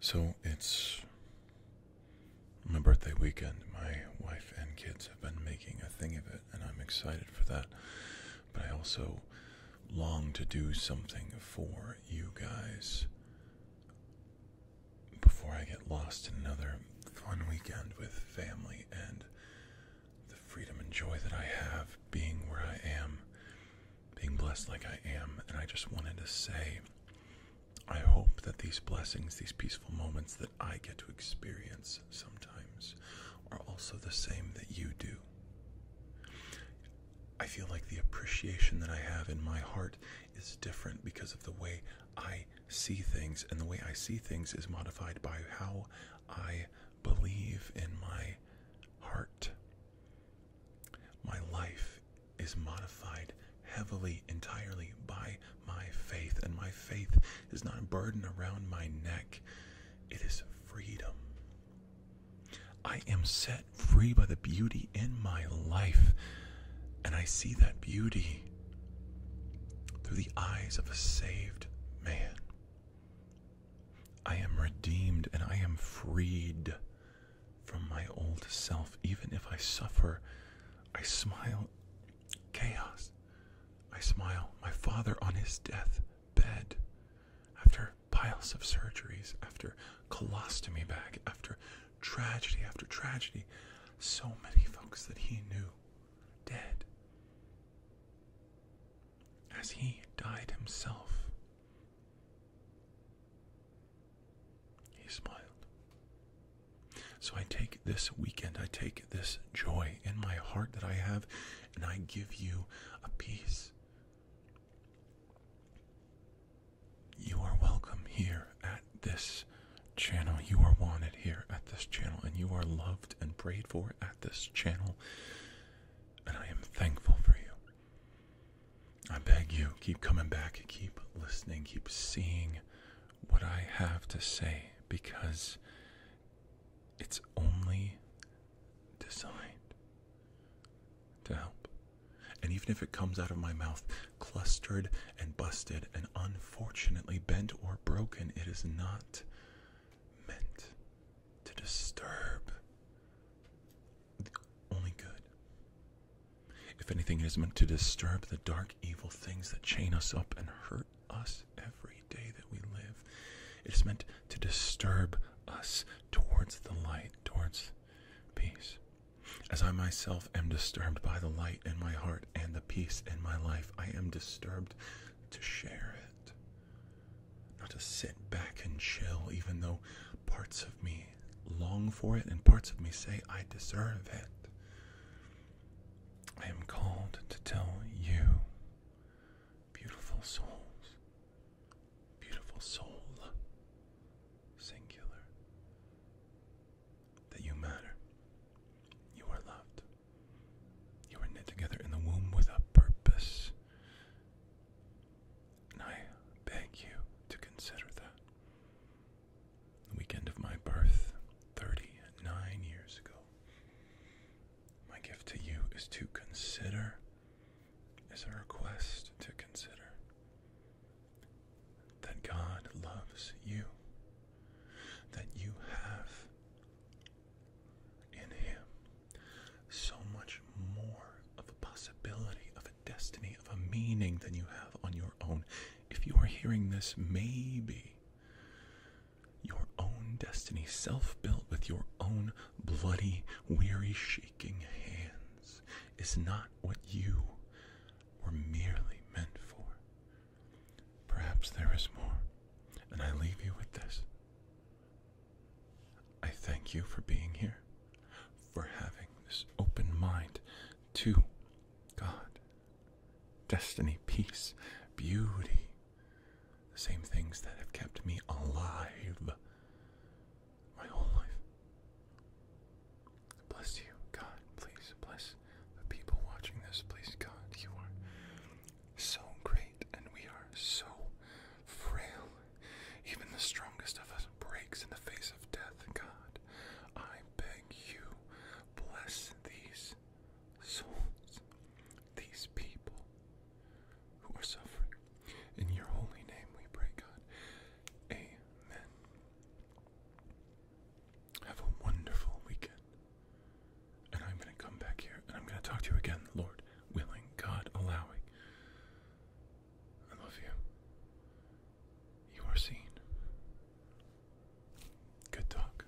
So it's my birthday weekend. My wife and kids have been making a thing of it, and I'm excited for that. But I also long to do something for you guys before I get lost in another fun weekend with family and the freedom and joy that I have being where I am being blessed like I am. And I just wanted to say, I hope that these blessings, these peaceful moments that I get to experience sometimes, are also the same that you do. I feel like the appreciation that I have in my heart is different because of the way I see things, and the way I see things is modified by how I believe in my heart. My life is modified heavily, entirely by my faith, and my faith is not a burden around my neck, it is freedom. I am set free by the beauty in my life, and I see that beauty through the eyes of a saved man. I am redeemed and I am freed from my old self. Even if I suffer, I smile. Chaos. I smile. My father on his death bed, after piles of surgeries, after colostomy bag, after tragedy after tragedy, so many folks that he knew dead as he died himself. He smiled. So I take this weekend, I take this joy in my heart that I have, and I give you a peace. You are welcome here at this channel. You are wanted here at this channel, and you are loved and prayed for at this channel. And I am thankful for you. I beg you, keep coming back, keep listening, keep seeing what I have to say because it's only designed to help. And even if it comes out of my mouth clustered and busted and unfortunately bent or broken, it is not meant to disturb only good. If anything, is meant to disturb the dark, evil things that chain us up and hurt us every day that we live. It is meant to disturb us towards the light, towards peace. As I myself am disturbed by the light in my heart and the peace in my life, I am disturbed to share it. Not to sit back and chill, even though parts of me long for it and parts of me say I deserve it. I am called to tell you, beautiful souls, beautiful soul, singular, that you matter. You are loved. You were knit together in the womb with a purpose. And I beg you to consider that. The weekend of my birth, 39 years ago, my gift to you is to consider, is a request to consider that God loves you, that you have in Him so much more of a possibility, of a destiny, of a meaning than you have on your own. If you are hearing this, maybe your own destiny, self built with your own bloody, weary, shaking hands is not what you were merely meant for. Perhaps there is more, and I leave you with this. I thank you for being here, for having this open mind to God, destiny, peace, beauty, the same things that have kept me alive my whole life. Bless you, God. Please bless the people watching this. Please, God, you are so great, and we are so frail. Even the strongest of us breaks in the face of death, God. I beg you, bless these souls, these people who are suffering. In your holy name we pray, God. Amen. Have a wonderful weekend. And I'm going to come back here and I'm going to talk to you again, Lord willing, God allowing. I love you. You are seen. Good talk.